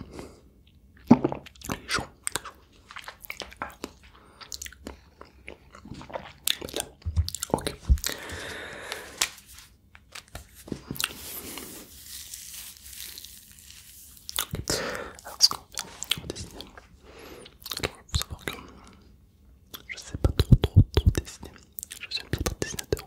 Il est chaud. Ah. Là. Ok. Okay. Alors ce qu'on va faire, on va dessiner. Alors il faut savoir que je sais pas trop trop dessiner. Je suis un peu un dessinateur.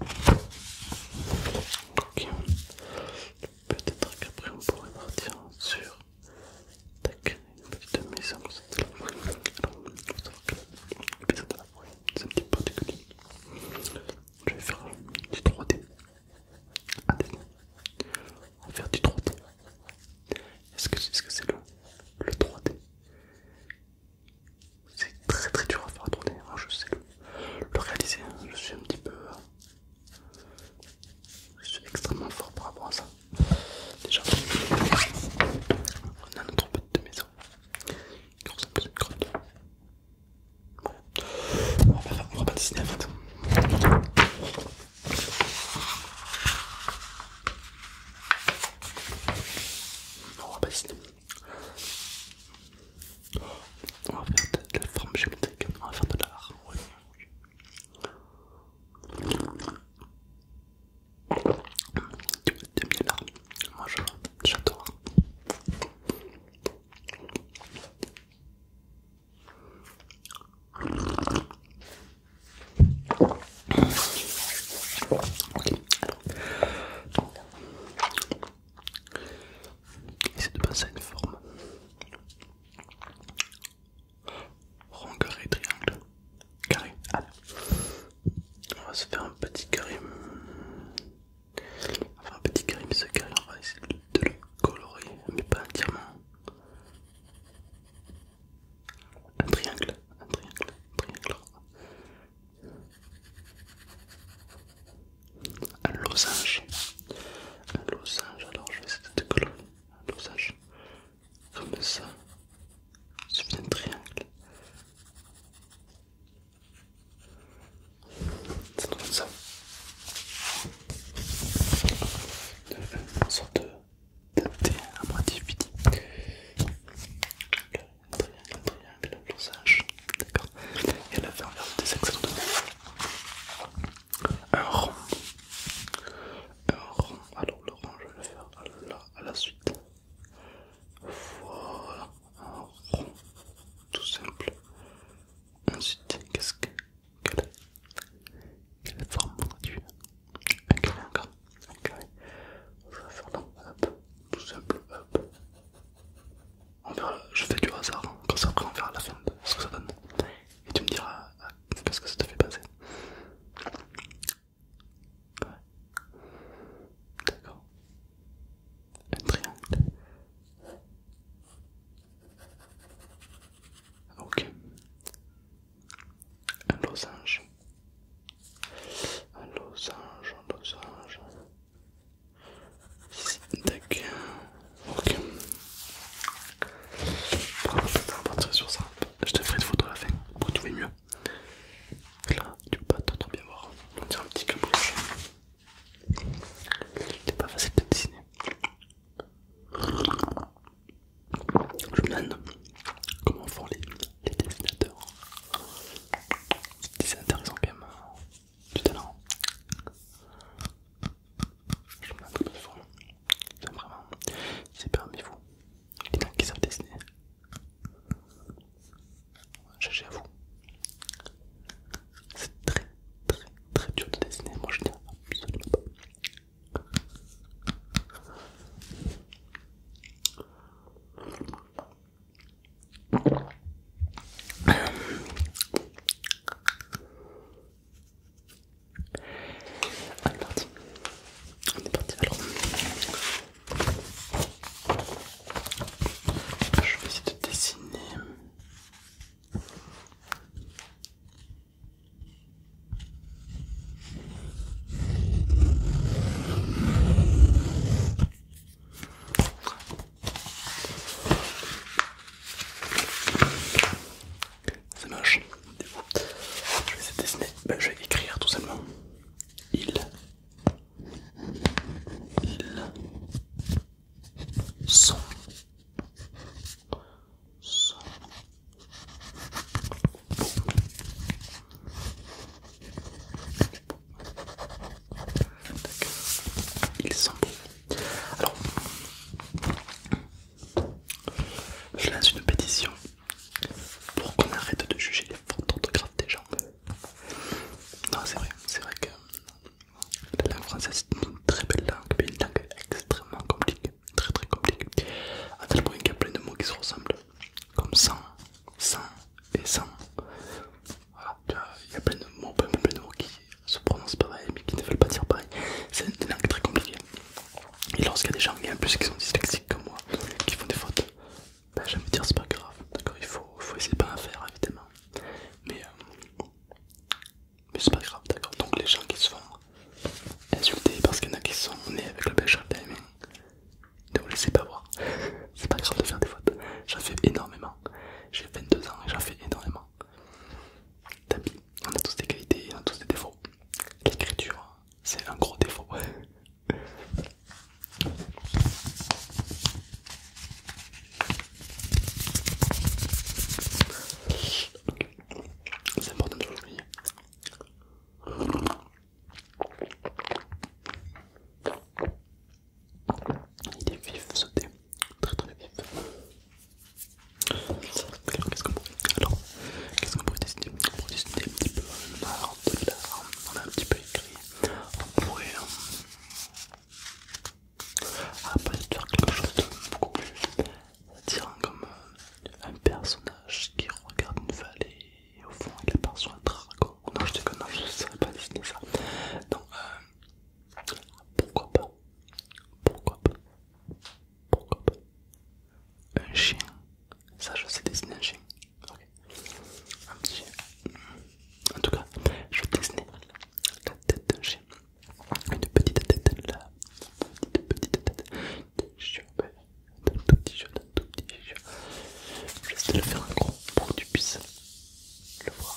Ok. Peut-être qu'après on pourrait partir sur... Tac, une petite maison de la Alors, il faut savoir que maison de la voix, c'est un petit peu particulier. Je vais faire du 3D. Attention. On va faire du 3D. Est-ce que c'est ce que c'est le 3D c'est très très dur à faire tourner, hein, je sais le, réaliser, hein. je suis un petit peu... Euh, je suis extrêmement fort pour avoir ça. Déjà, on a notre de maison qui ressemble à une grotte. On, va pas, on va pas dessiner en fait. On va pas dessiner. On va faire de la forme géométrique, on va faire de l'art. Oui, oui. T'aimes bien l'art Moi j'adore. Ok, Alors, Essaie de penser à une forme. Rond, carré, triangle. Carré. On va se faire un petit carré. un petit carré, ce carré, on va essayer de le colorer, mais pas entièrement. Un triangle, un triangle, un triangle un losange, un losange. Alors je vais essayer de coller un losange comme ça, il suffit d'un triangle. Ça donne ça, une sorte de à moitié vide. Le un triangle, un triangle, un le d'accord Et elle a fait un verre de excellent Un rond, un rond, alors le rond je vais le faire là, à la suite. Voilà, un rond, tout simple. Ensuite, qu'est-ce que... Quelle, quelle forme tu Un carré encore, un carré. Je vais faire là, hop, tout simple, hop. On ah verra, bah, je fais du hasard, hein. comme ça après on verra la fin de ce que ça donne. Et tu me diras euh, ce que ça te fait passer. Ouais. D'accord. Un triangle. Ok. Un losange. Un losange, un losange. Ici, Ok. on va sur ça. Je te ferai une photo à la fin pour trouver mieux. Là, tu peux pas trop bien voir. On dirait un petit caboche. C'est pas facile de dessiner. Je me demande comment font les, les dessinateurs. c'est dessinateurs quand même à l'heure, Je me mets de vraiment, c'est parmi vous. Les gens qui savent dessiner. J'ai à vous. C'est très très très dur de dessiner. Moi je n'y absolument pas. On est parti. On est parti alors. Je vais essayer de dessiner. C'est moche. je vais essayer de dessiner. Ben, je vais écrire tout simplement. Il. Ils sont. sont beaux d'accord, Ils sont beaux. Alors, je lance une pétition pour qu'on arrête de juger les fautes d'orthographe des gens. Non, c'est vrai, c'est vrai que la langue française est une très belle langue, mais une langue extrêmement compliquée, très très compliquée, à tel point qu'il y a plein de mots qui se ressemblent comme 100, ça et 100. Voilà, il y a plein de mots, plein, qui se prononcent pareil mais qui ne veulent pas dire pareil. C'est une langue très compliquée. Et lorsqu'il y a des gens, et en plus qui sont dyslexiques comme moi, qui font des fautes, ben, dire c'est pas grave, d'accord il faut, faut essayer de pas en faire évidemment. Euh, mais, c'est pas grave, d'accord Donc les gens qui se font insulter parce qu'il y en a qui sont nés avec le pêcheur de la ne vous laissez pas voir. C'est pas grave de faire des fautes. J'en fais énormément. J'ai 22 ans et j'en fais énormément. T'as on a tous des qualités, on a tous des défauts. L'écriture, c'est un gros défaut. C'est important de l'oublier. Il est vif ce très très vif. Alors qu'est-ce qu'on pourrait, alors, qu'est-ce qu'on pourrait dessiner On pourrait dessiner un petit peu un art de l'art, on a un petit peu écrit, on pourrait... Euh, ah, faire quelque chose de beaucoup plus attirant comme euh, un personnage qui regarde une vallée et au fond il sur un dragon. Non, je que non, je ne saurais pas dessiner ça. donc euh, pourquoi pas Pourquoi pas Pourquoi pas Un chien. Ça, je sais dessiner un chien. Un petit chien. En tout cas, je vais dessiner la tête d'un chien. Une petite tête, une petite, petite tête tout petit tout petit Je vais te le faire un gros pour que tu le voir.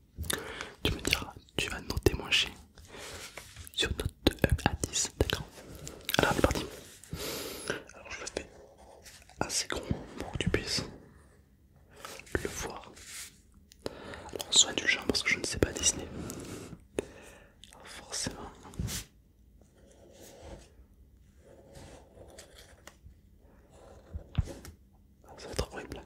Tu me diras, tu vas noter mon chien sur note 1 à 10, d'accord Alors on est parti. Alors je le fais assez gros pour que tu puisses le voir. Alors sois indulgent parce que je ne sais pas dessiner. Alors, forcément. Ça va être horrible.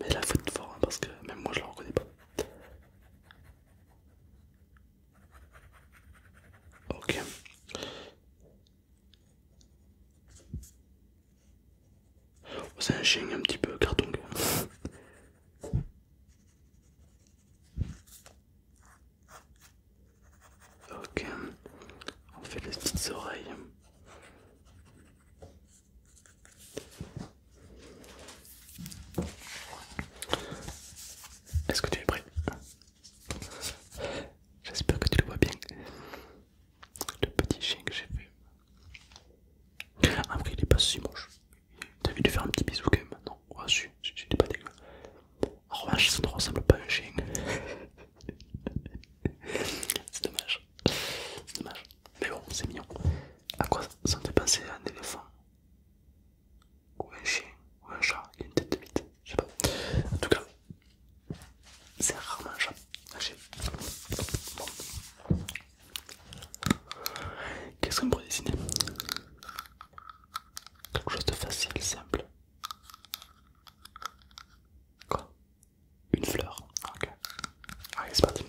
Mais la faute fort hein, parce que même moi je la reconnais pas. Ok. Oh, c'est un chien un petit peu carton. ok. On fait les petites oreilles. Est-ce que tu es prêt J'espère que tu le vois bien. Le petit chien que j'ai fait. Après, il est pas si moche. T'as vu lui faire un petit bisou quand même Non, ouais, si, pas dégueu. En revanche, ça ne ressemble pas à un chien c'est dommage, c'est dommage, mais bon, c'est mignon. À quoi ça me fait penser un éléphant Ou un chien Ou un chat qui a une tête de bite Je sais pas. En tout cas, c'est rarement un chat. Un chien. Bon. Qu'est-ce qu'on pourrait dessiner Quelque chose de facile, simple. Quoi une fleur. Ok. c'est parti.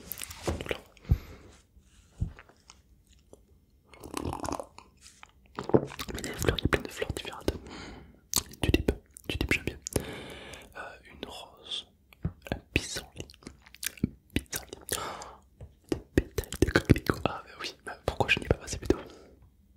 Mais il y a des fleurs, il y a plein de fleurs différentes. Tulipe, tulipe j'aime bien. Euh, une rose, un pissenlit, un pissenlit, des bétails de coquelicot. Ah bah oui, ben, pourquoi je n'y ai pas passé plutôt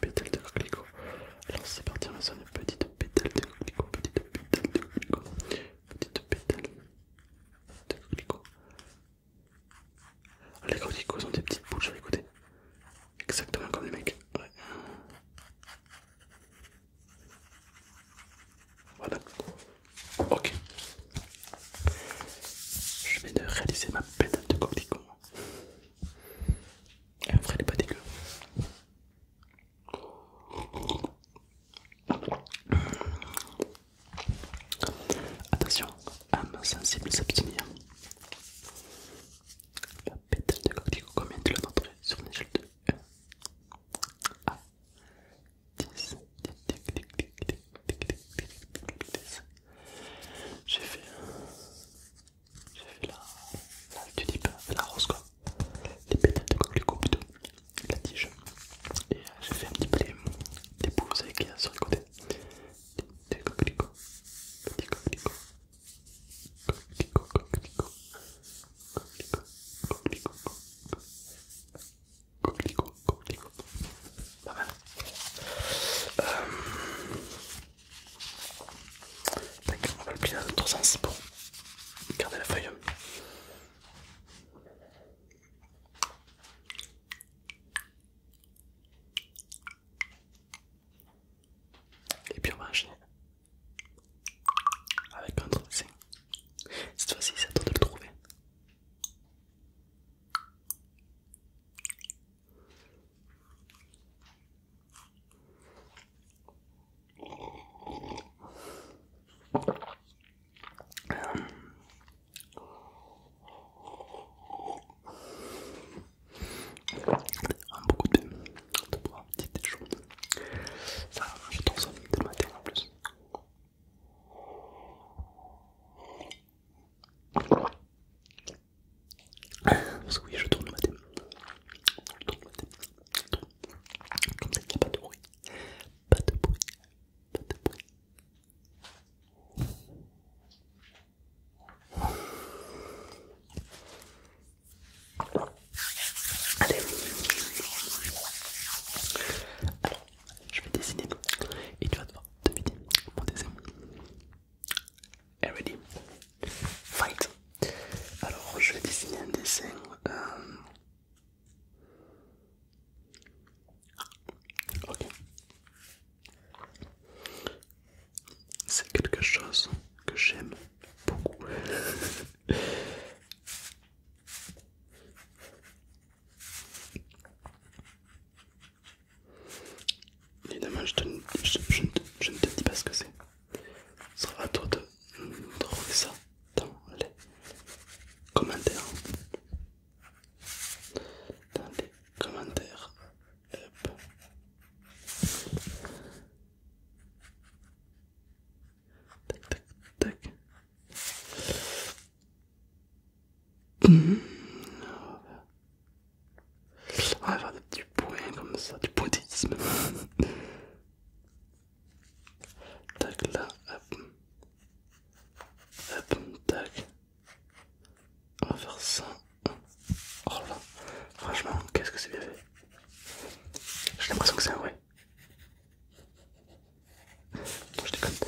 Pétale de Alors c'est parti, on a petite pétale de coquelicot, petite pétale de coquelicot, petite pétale de coquelicot. Ah, les coquelicots ont des petites bouches sur les exactement comme les mecs. Ouais. Voilà, Ok. Je viens de réaliser ma pétale de coquelicot. vrai, elle est pas dégueu. Attention, âme sensible s'abstenir. La pétale de cocticule, combien tu l'as noterais sur une échelle de 1 à ah. J'ai fait, la, la rose quoi, les pétales de coquelicot plutôt, la tige, et euh, j'ai fait un petit peu les, les tic sur les côtés, coquelicot, coquelicot. Pas mal. d'accord euh, on va le plier dans l'autre sens pour garder la feuille. Et puis on va enchaîner avec un autre Cette fois-ci, c'est à toi de le trouver. Un beaucoup de, de bois, petites choses. Ça, je trouve ça tellement matin en plus oui, je tourne le matin. Je tourne le matin. Comme ça, il n'y a pas de bruit. Pas de bruit. Pas de bruit je vais dessiner et tu vas devoir vider mon dessin. ready? Fight! Alors, je vais dessiner un dessin. Euh... Ok. C'est quelque chose que j'aime beaucoup. Évidemment, je, te, je, je, je ne te dis pas ce que c'est. Ce sera à toi de, trouver ça dans les commentaires. Dans les commentaires. Tac, tac, tac. On va faire des petits points comme ça, du pointillisme. tac là, hop. Hop, tac. On va faire ça. Oh là franchement, qu'est-ce que c'est bien fait. J'ai l'impression que c'est un vrai. Je déconne.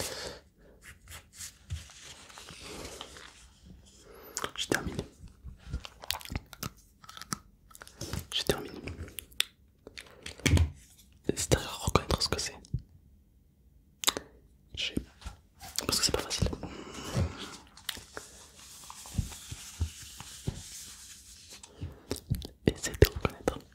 Je termine. Je termine. C'est à reconnaître ce que c'est. Parce que c'est pas facile. Essayez de reconnaître.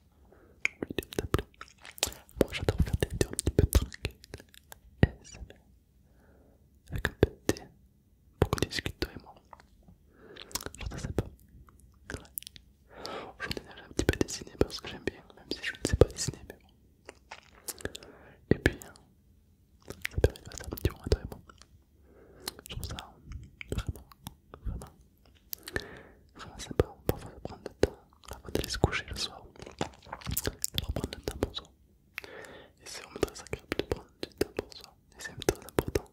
un peu plus Moi j'adore faire des vidéos un petit peu tranquilles, et avec un peu de thé, pour qu'on discute toi et moi. J'entends ça pas. Ouais. Aujourd'hui j'ai un petit peu dessiné parce que j'aime bien, même si je ne sais pas dessiner, mais bon. Et puis, hein, ça permet de faire un petit à toi et moi. Je trouve ça vraiment, vraiment, vraiment sympa. Parfois ça prendre de temps avant d'aller se coucher le soir. leur prendre le temps pour soi. Et c'est vraiment très agréable de prendre du temps pour soi. Et c'est très important.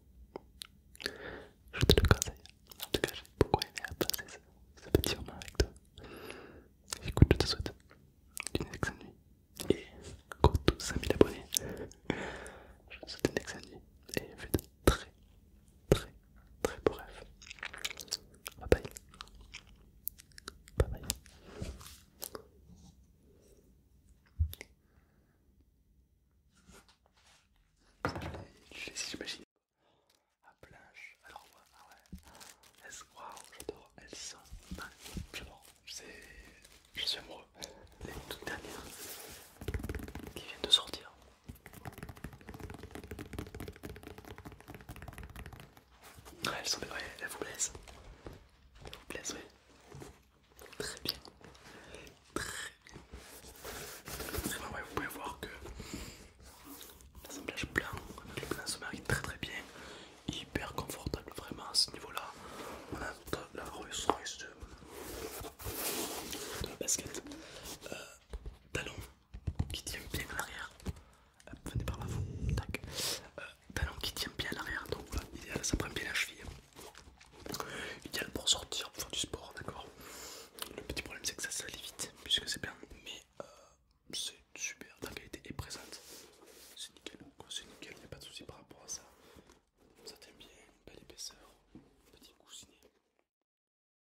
Je te le conseille. En tout cas, j'ai beaucoup aimé à passer ce, petit moment avec toi. Écoute, je te souhaite une excellente nuit. Et compte tous 5000 abonnés. Je te souhaite une excellente nuit. Et fais de très, très Très beau rêve. Bye bye. Bye bye. Je les j'imagine. À ah, planche, alors ouais, ah ouais. Wow, j'adore, elles sont J'adore, je suis amoureux. Les toutes dernières qui viennent de sortir. Ouais, elles sont vous plaisent. Elles vous plaisent, oui. Très bien. Très bien. Très bien, vous pouvez voir que l'assemblage blanc avec le plan se est très très bien. Hyper confortable, vraiment à ce niveau-là. On a la ressource de, la basket. Euh, talons qui tient bien à l'arrière. Euh, venez par l'avant vous. Tac. Euh, talon qui tient bien à l'arrière, donc voilà, idéal, ça prend bien la cheville. Idéal pour sortir, pour faire du sport, d'accord. Le petit problème c'est que ça salit vite, puisque c'est bien, mais euh, c'est super, la qualité est présente. C'est nickel, c'est nickel, il a pas de souci par rapport à ça. Ça tient bien, belle épaisseur, petit coussinet.